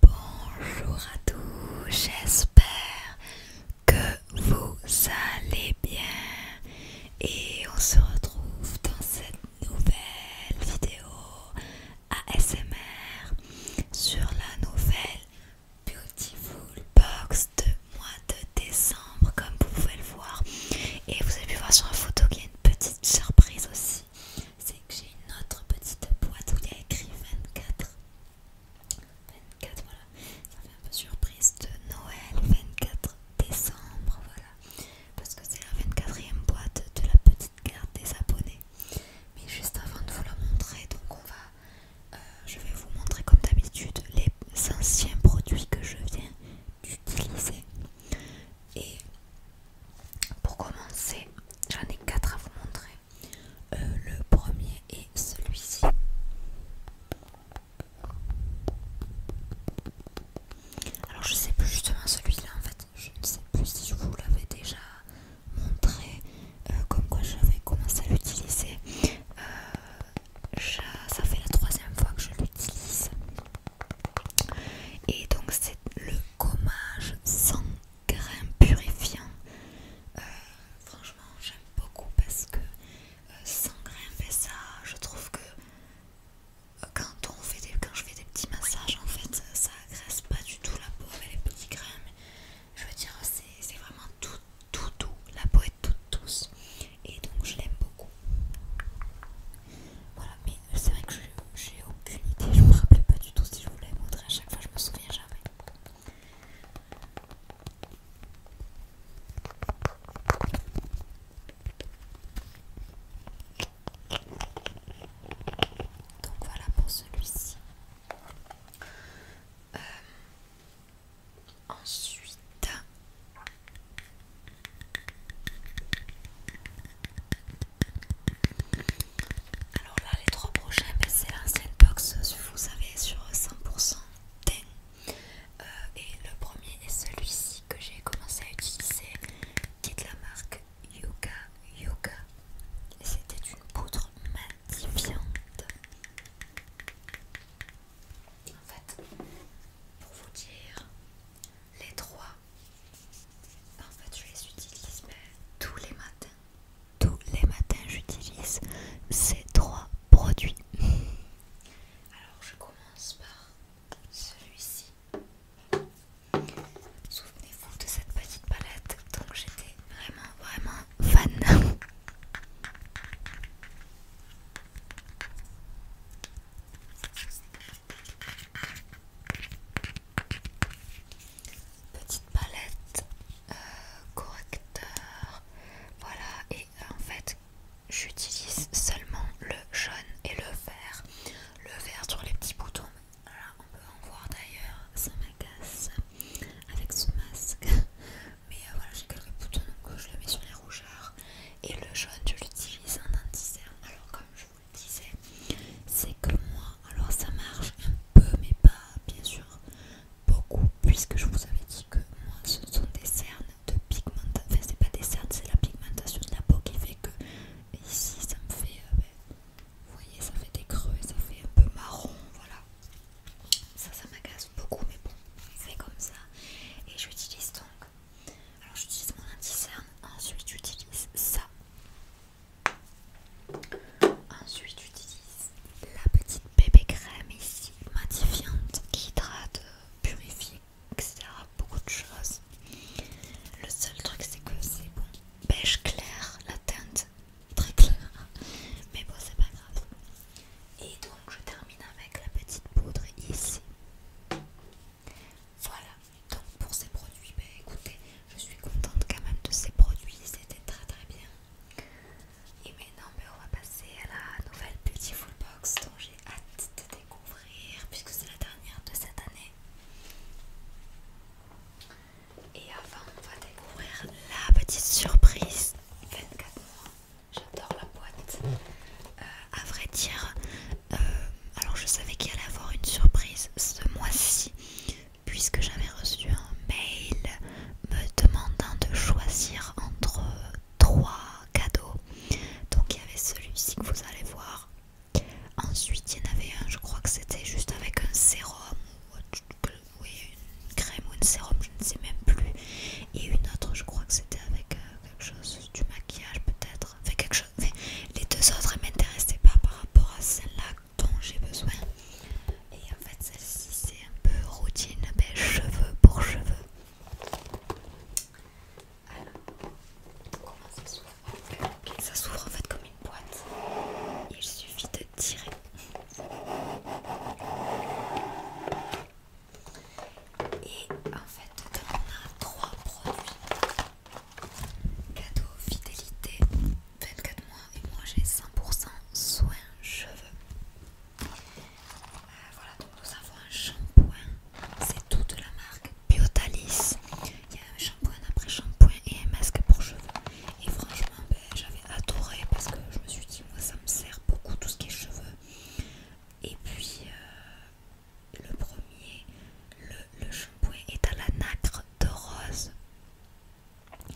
Bonjour à tous, j'espère que vous allez bien et on se retrouve dans cette nouvelle vidéo ASMR sur la nouvelle Beautiful Box de mois de décembre comme vous pouvez le voir et vous avez pu voir sur la photo qu'il y a une petite surprise aussi c'est que j'ai une autre petite boîte où il y a écrit 24. 24, voilà. Ça fait un peu surprise de Noël, 24 décembre, voilà. Parce que c'est la 24ème boîte de la petite carte des abonnés. Mais juste avant de vous la montrer, donc on va, euh, je vais vous montrer comme d'habitude les anciens produits que je viens d'utiliser. Et pour commencer, j'en ai quatre à vous montrer. Euh, le premier est celui-ci. Alors je sais plus justement celui-là en fait. Je ne sais plus si je vous l'avais déjà montré, euh, comme quoi j'avais commencé à l'utiliser. Euh, ça fait la troisième fois que je l'utilise. Et donc c'est le gommage sans grains purifiant. Euh, franchement, j'aime beaucoup parce que euh, sans grains fait ça. Je trouve que euh, quand, on fait des, quand je fais des petits massages, en fait, ça, agresse pas du tout la peau et les petits grains. je veux dire, c'est vraiment tout, tout, doux La peau est toute douce. Et donc, je l'aime beaucoup. Voilà, mais c'est vrai que j'ai aucune idée, je me rappelais pas du tout si je voulais montrer à chaque fois, je me souviens jamais. Donc voilà pour celui-ci. Euh, ensuite, alors là, les trois prochains, ben, c'est l'ancienne box, vous savez, sur 100% euh, et le premier est celui-ci que j'ai commencé à utiliser, qui est de la marque Yoga Yoga. c'était une poudre magnifiante. En fait, pour vous dire, les trois, en fait, je les utilise tous les matins. Tous les matins, j'utilise ces trois produits. Alors, je commence par celui-ci. Souvenez-vous de cette petite palette, donc j'étais vraiment, vraiment fan. Petite palette, euh, correcteur, voilà. Et euh, en fait, j'utilise seulement le jaune et le vert. Le vert sur les petits boutons. on peut en voir d'ailleurs, ça m'agace avec ce masque. Mais euh, voilà, j'ai quelques boutons que je le mets sur les rougeurs. Et le jaune, je l'utilise en indiscerne. Alors, comme je disait c'est que moi alors ça marche un peu mais pas bien sûr beaucoup puisque je vous avais dit que moi ce sont des cernes de pigmentation enfin c'est pas des cernes c'est la pigmentation de la peau qui fait que ici ça me fait euh, ben, vous voyez ça fait des creux ça fait un peu marron voilà ça ça m'agace beaucoup mais bon c'est comme ça et j'utilise donc alors j'utilise mon anti-cerne ensuite j'utilise ça. Ensuite j'utilise la petite bébé crème ici, matifiante, hydrate, purifie, etc. Beaucoup de choses. Le seul truc c'est que c'est bon. Beige clair, la teinte très claire. Mais bon c'est pas grave. Et donc je termine avec la petite poudre ici. Voilà, donc pour ces produits, ben, écoutez, je suis contente quand même de ces produits, c'était très très bien. Et maintenant, ben, on va passer à la nouvelle Beautiful Box dont j'ai hâte de découvrir puisque c'est la dernière de cette année. Et avant, on va découvrir la petite surprise 24 mois. J'adore la boîte. Euh, à vrai dire, euh, alors je savais qu'il allait avoir une surprise ce mois-ci puisque j'avais reçu un mail me demandant de choisir entre trois cadeaux. Donc il y avait celui-ci que vous allez voir. Ensuite il y en avait un, je crois que c'était juste avec un sérum ou une crème ou un sérum, je ne sais même plus. Et une autre, je crois que c'était avec euh, quelque chose du maquillage peut-être quelque chose. les deux autres ne m'intéressaient pas par rapport à celle-là dont j'ai besoin. Et en fait, celle-ci, c'est un peu routine, cheveux pour cheveux. Alors, comment ça s'ouvre Ça s'ouvre en fait comme une boîte. Il suffit de tirer. Et en fait, on a trois produits cadeau fidélité 24 mois et moi j'ai 100% soin cheveux. Euh, voilà, donc nous avons un shampoing, c'est tout de la marque Biotalis. Il y a un shampoing après shampoing et un masque pour cheveux. Et franchement, ben, j'avais adoré parce que je me suis dit, moi ça me sert beaucoup tout ce qui est cheveux. Et puis, euh, le premier, le, shampoing est à la nacre de rose.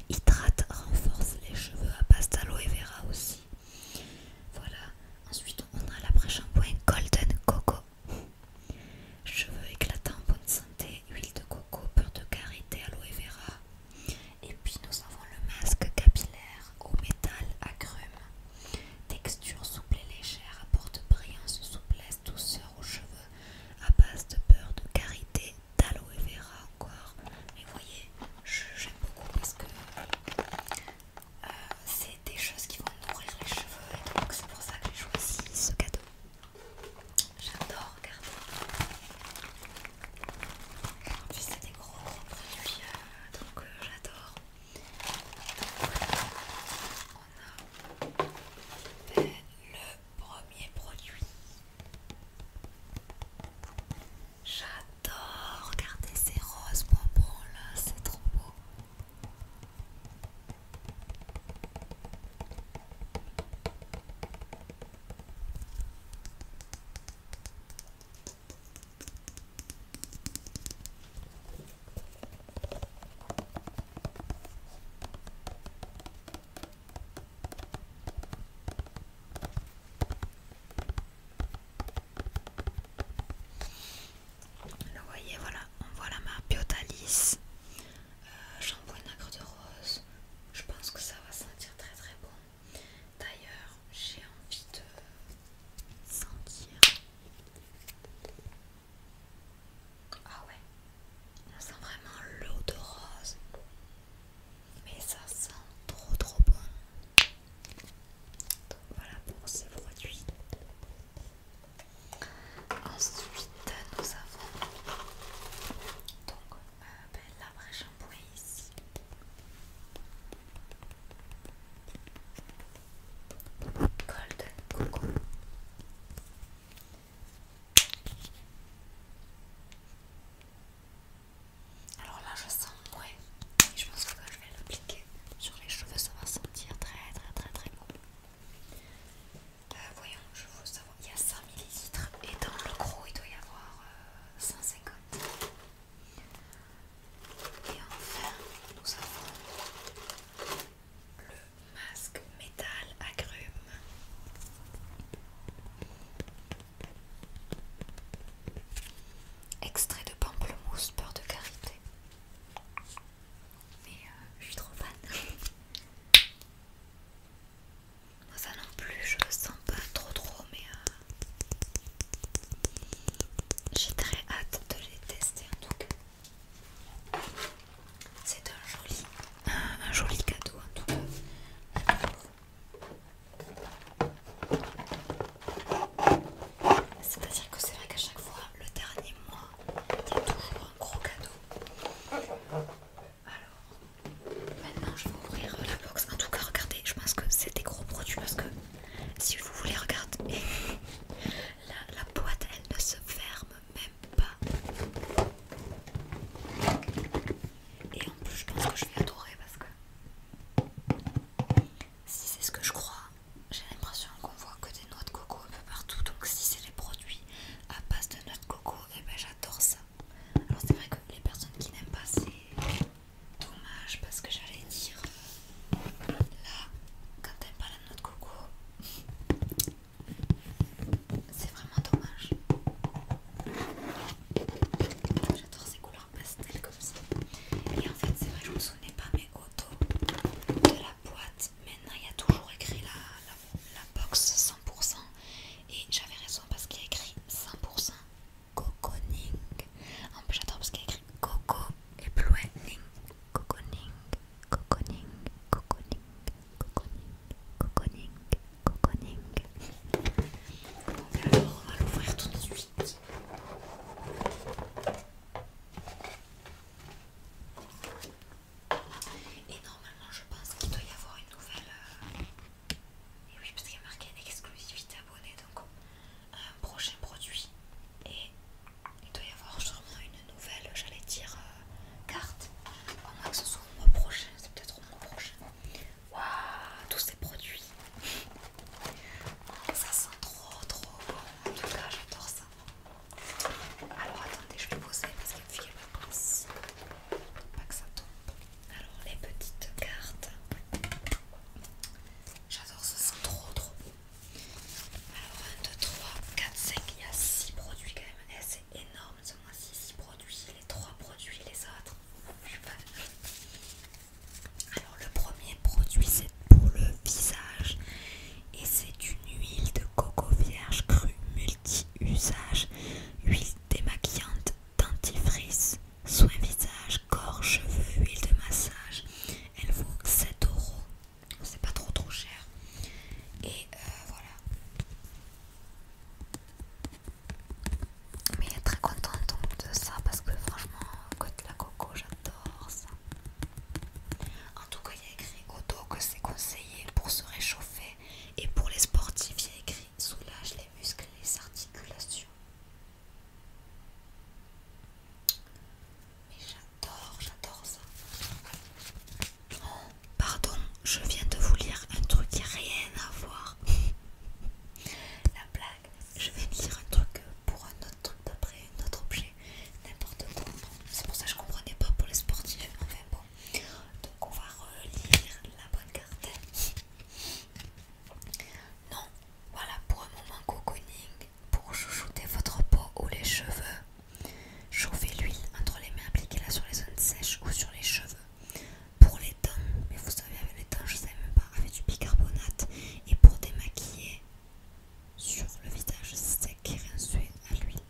Hydrate, renforce les cheveux à base d'aloe vera aussi. Voilà. Ensuite, on a l'après-shampoing Golden Coco. Cheveux éclatants, bonne santé, huile de coco, peur de karité, aloe vera. Et puis nous avons le masque capillaire au métal à crème, Texture souple et légère, apporte brillance, souplesse, douceur aux cheveux, à base de beurre de karité, d'aloe vera encore. et vous voyez, j'aime beaucoup parce que euh, c'est des choses qui vont nourrir les cheveux et donc c'est pour ça que j'ai choisi ce cadeau. J'adore, regardez. En plus, c'est des gros gros produits, euh, donc euh, j'adore on a le premier produit. J'adore, regardez ces roses bonbons là, c'est trop beau. Là, vous voyez, voilà, on voit la marque Biotalis, J'envoie euh, shampoing nacre de rose. Je pense que ça va sentir très très bon. D'ailleurs, j'ai envie de sentir ah ouais, on sent vraiment l'eau de rose. Mais ça sent trop trop bon. Donc voilà pour ces produits. Ensuite, nous avons donc euh, ben, vraie shampoing ici. Golden Coco. Alors là, je sens, ouais, je pense que quand je vais l'appliquer sur les cheveux, ça va sentir très, très, très, très bon. Euh, voyons, je veux savoir, il y a 100 ml et dans le gros, il doit y avoir 150. Euh, et enfin, nous avons le masque métal agrume. Extrait de pamplemousse peur de carité, Mais euh, je suis trop fan. Moi ça non plus, je le sens pas trop trop, mais euh, j'ai très hâte de les tester en tout cas. C'est un joli, joli cadeau en tout cas. C'est-à-dire que c'est vrai qu'à chaque fois, le dernier mois, il y a toujours un gros cadeau. Alors, maintenant je vais ouvrir la box. En tout cas, regardez, je pense que c'est des gros produits parce que si vous voulez, regarder la, boîte elle ne se ferme même pas. Et en plus, je pense que je vais adorer parce que si c'est ce que je crois, j'ai l'impression qu'on voit que des noix de coco un peu partout. Donc, si c'est des produits à base de noix de coco, et eh ben j'adore ça. Alors, c'est vrai que les personnes qui n'aiment pas, c'est Dommage parce que j'allais dire là, quand t'aimes pas la noix coco, c'est vraiment dommage. J'adore ces couleurs pastel comme ça. Et en fait, c'est vrai, je me souvenais pas, mais auto de la boîte, maintenant il y a toujours écrit la, la box 100%. Et j'avais raison parce qu'il y a écrit 100%. Coconing. En plus, j'adore parce qu'il y a écrit Coco et plus Ning. Coco Coco Ning Ning Coco Ning Coco Ning Coco Ning Donc, alors, on va l'ouvrir tout de suite. Et normalement, je pense qu'il doit y avoir une nouvelle. Euh, et oui, parce qu'il y a marqué exclusivité abonnée donc un euh, prochain produit. Et il doit y avoir sûrement une nouvelle, j'allais dire, euh, carte. Au moins que ce soit au mois prochain, c'est peut-être au mois prochain. Waouh, tous ces produits! Ça sent trop trop bon, en tout cas j'adore ça. Alors attendez, je vais poser parce qu'il me fait ma pince. Pas que ça tombe. Alors les petites cartes. J'adore ça, c'est trop trop beau. Alors 1, 2, 3, 4, 5, il y a 6 produits quand même. Eh, c'est énorme ce mois-ci, 6 produits, les 3 produits, les autres. Je sais pas. Alors le premier produit c'est pour le visage. Et c'est une huile de coco vierge crue multi-usage. Huile démaquillante dentifrice, soin visage, corps, cheveux, huile de massage. Elle vaut 7 euros. C'est pas trop trop cher. Et euh, voilà. Mais très contente de ça parce que franchement, la coco, j'adore ça. En tout cas, il y a écrit au dos que c'est conseillé pour se réchauffer et pour les sportifs, il y a écrit soulage les muscles et les articulations. Mais j'adore, j'adore ça. Oh, pardon, je viens de vous lire un truc qui n'a rien à voir. La blague, je vais lire un truc pour un autre truc d'après, un autre objet, n'importe quoi. C'est pour ça que je comprenais pas pour les sportifs. Enfin bon, donc on va relire la bonne carte. Non, voilà pour un moment cocooning, pour chouchouter votre peau ou les cheveux. Chauffez l'huile entre les mains, appliquez-la sur les zones sèches ou sur les cheveux. Pour les dents, mais vous savez avec les dents, je sais même pas, avec du bicarbonate et pour démaquiller sur le visage sec et rincé à l'huile.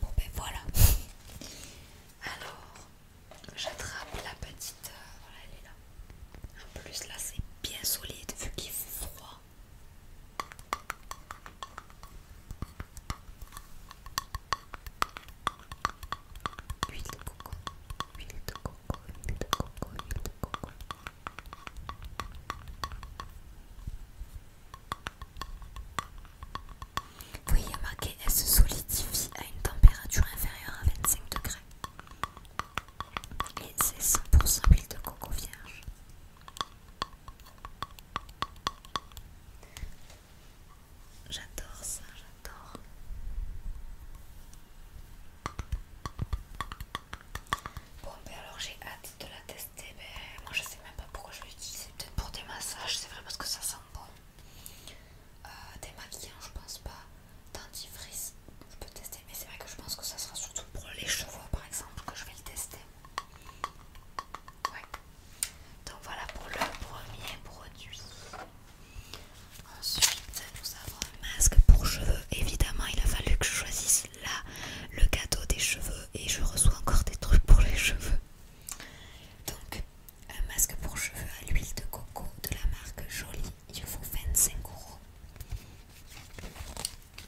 Bon ben voilà. Alors, j'attrape la petite. Euh, voilà, elle est là. En plus, là, c'est bien solide vu qu'il fait froid. Huile de coco, huile de coco, huile de coco, huile de coco. Oui, voyez elle se solidifie à une température inférieure à 25 degrés. Et c'est 100% huile de coco vierge. J'adore ça, j'adore. Bon, ben alors j'ai hâte de la tester. Mais moi je sais même pas pourquoi je l'utilise. l'utiliser peut-être pour des massages, c'est vrai parce que ça sent des euh, maquillants, hein, je pense pas. Dentifrice, je peux tester, mais c'est vrai que je pense que ça sera surtout pour les cheveux par exemple que je vais le tester. Ouais. Donc voilà pour le premier produit. Ensuite, nous avons un masque pour cheveux. Évidemment, il a fallu que je choisisse là le gâteau des cheveux et je reçois encore des trucs pour les cheveux. Donc, un masque pour cheveux à l'huile de coco de la marque Jolie, il faut 25 euros.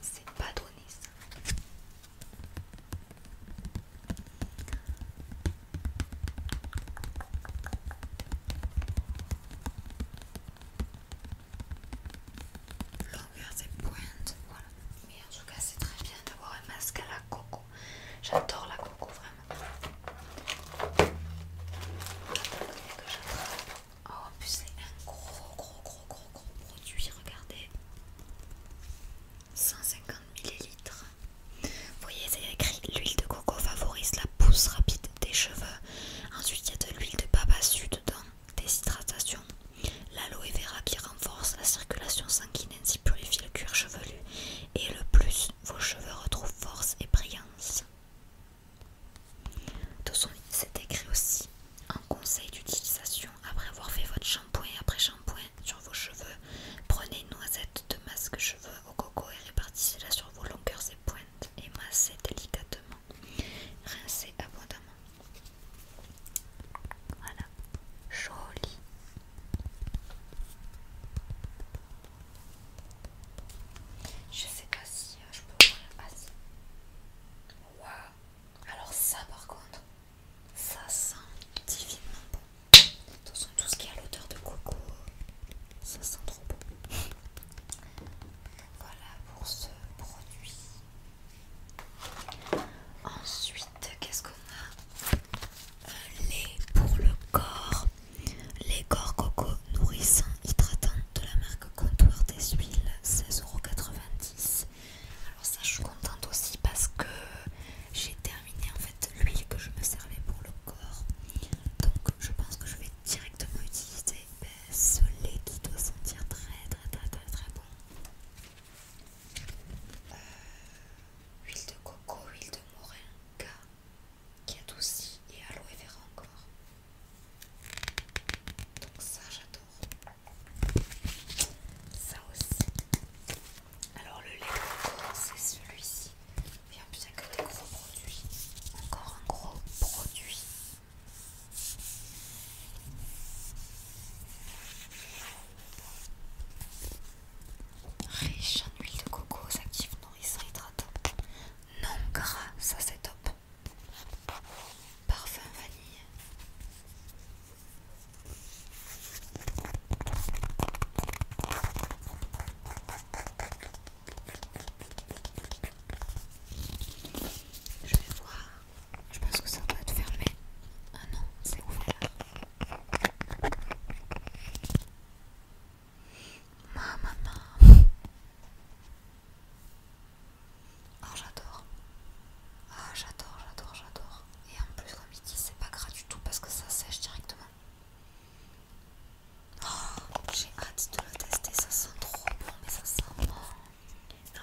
C'est pas donné ça. Longueur des pointes, voilà. Mais en tout cas, c'est très bien d'avoir un masque à la coco. J'adore la coco, vraiment. Oh, en plus, c'est un gros, gros, gros, gros, gros produit. Regardez 150 ml. Vous voyez, c'est écrit l'huile de coco favorise la pousse rapide des cheveux. Ensuite, il y a de l'huile de Babassu dedans, hydratations L'aloe vera qui renforce la circulation sanguine ainsi purifie le cuir chevelu et le plus vos cheveux retrouvent force et brillance. Dans son c'est écrit aussi en conseil d'utilisation après avoir fait votre shampoing et après shampoing sur vos cheveux, prenez une noisette de masque cheveux au coco et répartissez-la sur vos longueurs et pointes et massez délicatement. Rincez abondamment. Voilà, joli. Je sais pas si euh, je peux voir. Ah Waouh. Alors ça par contre, ça sent divinement bon. De toute façon tout ce qui a l'odeur de coco, ça sent trop bon. Voilà pour ce produit. Ensuite, qu'est-ce qu'on a Un lait pour le corps. Les corps coco nourrissant, hydratant de la marque Contour des huiles, 16,90€. Alors ça, je suis contente aussi parce que j'ai terminé en fait l'huile que je me servais pour le corps. Donc je pense que je vais directement utiliser ben, ce lait qui doit sentir très très très très, très bon. Euh, huile de coco, huile de moringa qui adoucit et aloe vera encore. Donc ça j'adore. Ça aussi. Alors le lait de coco c'est celui-ci. Bien plus que des gros produits. Encore un gros produit. Riche en huile de coco, active actifs hydratant, Non gras, ça c'est top. Parfum vanille. Je vais voir je pense que ça va être fermé. Ah non, c'est ouvert. maman. Ah oh, j'adore. Ah j'adore, j'adore, j'adore. Et en plus comme il dit, c'est pas gras du tout parce que ça sèche directement. Oh, j'ai hâte de le tester, ça sent trop bon, mais ça sent bon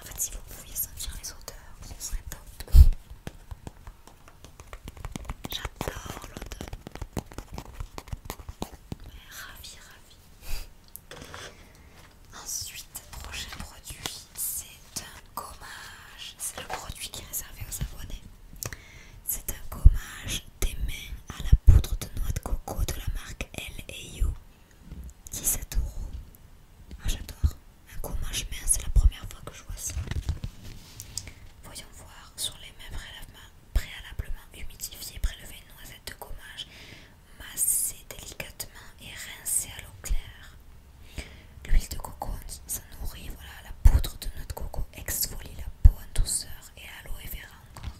en fait, si vous pouviez sentir les odeurs, ce serait top. J'adore l'odeur. Ravi, ravi. Ensuite, prochain produit, c'est un gommage. C'est le produit qui est réservé aux abonnés. C'est un gommage des mains à la poudre de noix de coco de la marque L.A.U. 17 euros. Ah, j'adore. Un gommage mais c'est la première fois que je vois ça. Voyons voir. Sur les mains préalablement humidifiées, prélever une noisette de gommage, masser délicatement et rincer à l'eau claire. L'huile de coco, ça nourrit. Voilà, la poudre de notre coco exfolie la peau en douceur et à l'eau, et verra encore.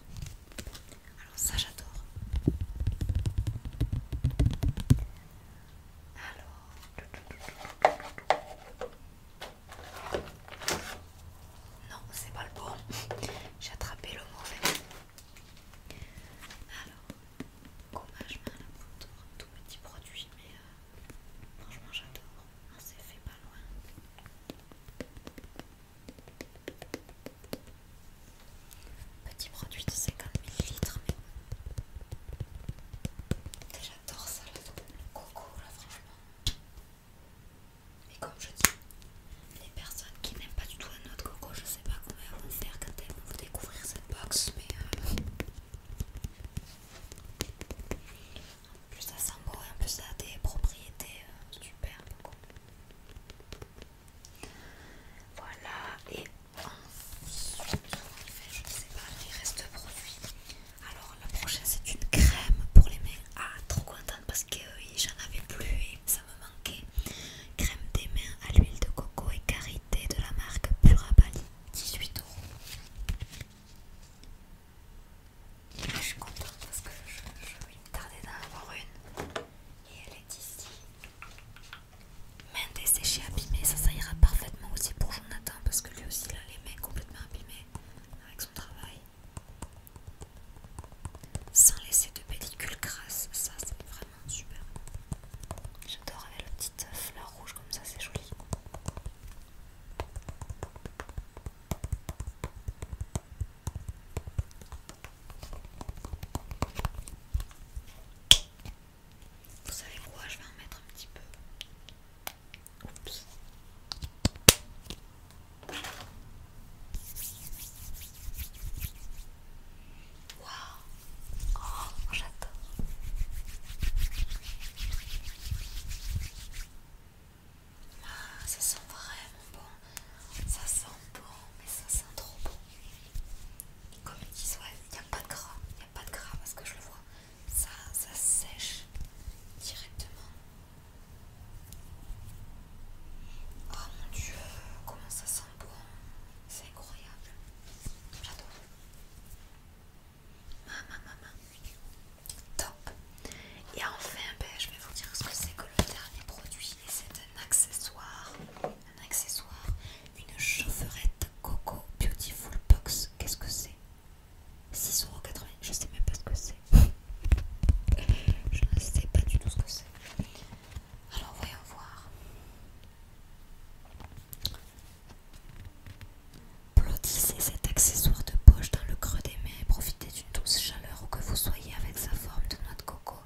Alors ça j'adore. Alors. Non, c'est pas le bon. J'ai attrapé le mauvais. Alors, gommage main photo pour tous mes petits produits, mais euh, franchement j'adore. On ah, s'est fait pas loin. Petit produit de 50 ml, mais j'adore ça, le coco, là, franchement. Et comme je dis, les personnes qui n'aiment pas du tout un noix coco, je sais pas elles vont faire quand elles vont découvrir cette box, mais euh, en plus ça sent bon et en plus ça a des propriétés euh, superbes. Voilà, et ensuite, je sais pas, il reste produit. Alors, la prochaine, c'est une crème pour les mains. Ah, trop contente parce que euh, j'en avais plus et ça me manquait. Crème des mains à l'huile de coco et karité de la marque Purabali, 18 euros. Je suis contente parce que je, vais me tarder d'en avoir une. Et elle est ici. Mains desséchées, abîmées, ça, ça ira parfaitement aussi pour Jonathan parce que lui aussi, il a les mains complètement abîmées avec son travail. Sans laisser de pellicule grasse ça, c'est vraiment super. J'adore avec la petite fleur rouge comme ça, c'est joli. Vous savez quoi Je vais en mettre un petit peu. Oups. Waouh Oh, j'adore ah, ça sent vraiment bon, ça sent bon, mais ça sent trop bon. Comme ils disent, ouais, il n'y a pas de gras, il n'y a pas de gras parce que je le vois. Ça, sèche directement. Oh mon dieu, comment ça sent bon! Hein. C'est incroyable! J'adore! Maman, maman! Top! Et enfin, ben, je vais vous dire ce que c'est que le dernier produit. Et c'est un accessoire accessoire, une chaufferette Coco Beautiful Box. Qu'est-ce que c'est 6,80€, je sais même pas ce que c'est. je ne sais pas du tout ce que c'est. Alors voyons voir. plotissez cet accessoire de poche dans le creux des mains et profitez d'une douce chaleur où que vous soyez avec sa forme de noix de coco.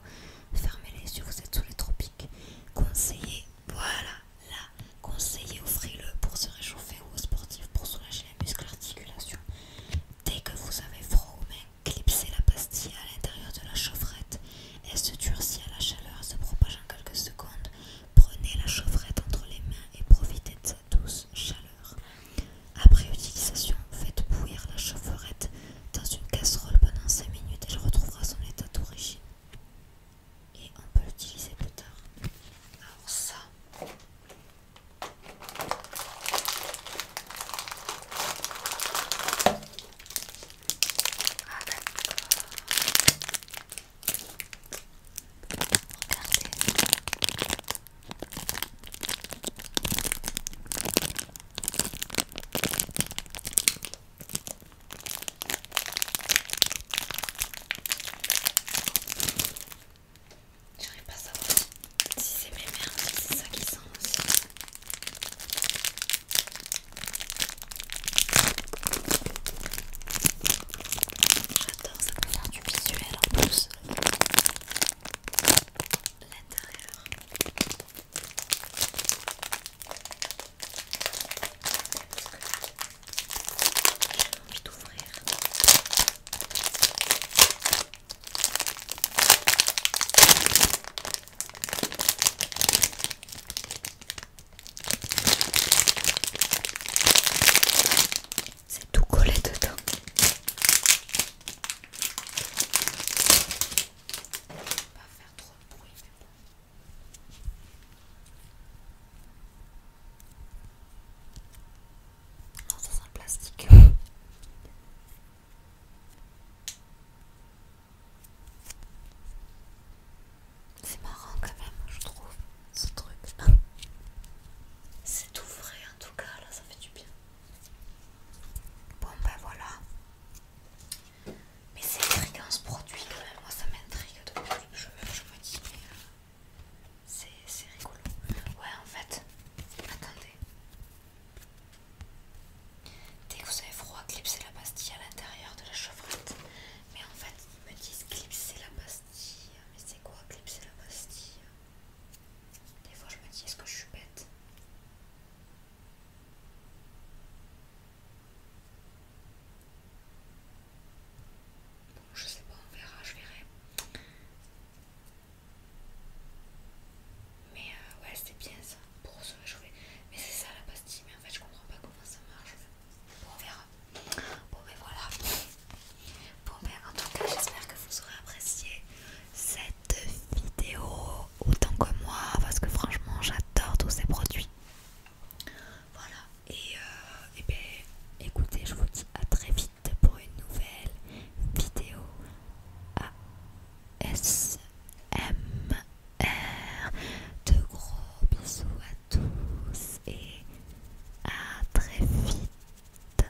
Fermez les yeux, vous êtes sous les tropiques. Conseillez, voilà, là, conseillez, offrez-le pour se réchauffer ou aux sportifs pour soulager les muscles articulations Dès que vous avez froid aux clipsez la pastille à l'intérieur de la chaufferette. Elle se durcit à la chaleur, se propage en quelques secondes. Prenez la chaufferette entre les mains et profitez de sa douce chaleur. Après utilisation, faites bouillir la chaufferette dans une casserole pendant 5 minutes elle retrouvera son état d'origine. Et on peut l'utiliser plus tard. Alors ça. Ah, J'arrive pas savoir si c'est mes merdes, si c'est ça qui sent aussi. J'adore, ça peut du visuel en plus. L'intérieur. C'est tout collé dedans vais pas faire trop de bruit, mais Non, ça sent plastique. C'est marrant quand même, je trouve, ce truc. C'est tout vrai en tout cas, là, ça fait du bien. Bon ben voilà. Mais c'est intriguant ce produit quand même, moi ça m'intrigue je, je me dis mais euh, c'est rigolo. Ouais en fait, attendez. Dès que vous avez froid, clipsez la pastille à l'intérieur de la chevrette. Mais en fait, ils me disent clipser la pastille. Mais c'est quoi clipser la pastille des fois, je me dis, est-ce que je suis bête Bon, je sais pas, on verra, je verrai. Mais euh, ouais, c'était bien ça, pour se réchauffer. Mais c'est ça la pastille, mais en fait, je comprends pas comment ça marche. Bon, on verra. Bon, mais voilà. Bon, ben en tout cas, j'espère que vous aurez apprécié cette vidéo autant que moi parce que franchement j'adore tous ces produits. Voilà, et, euh, ben, écoutez, je vous dis à très vite pour une nouvelle vidéo R De gros bisous à tous et à très vite.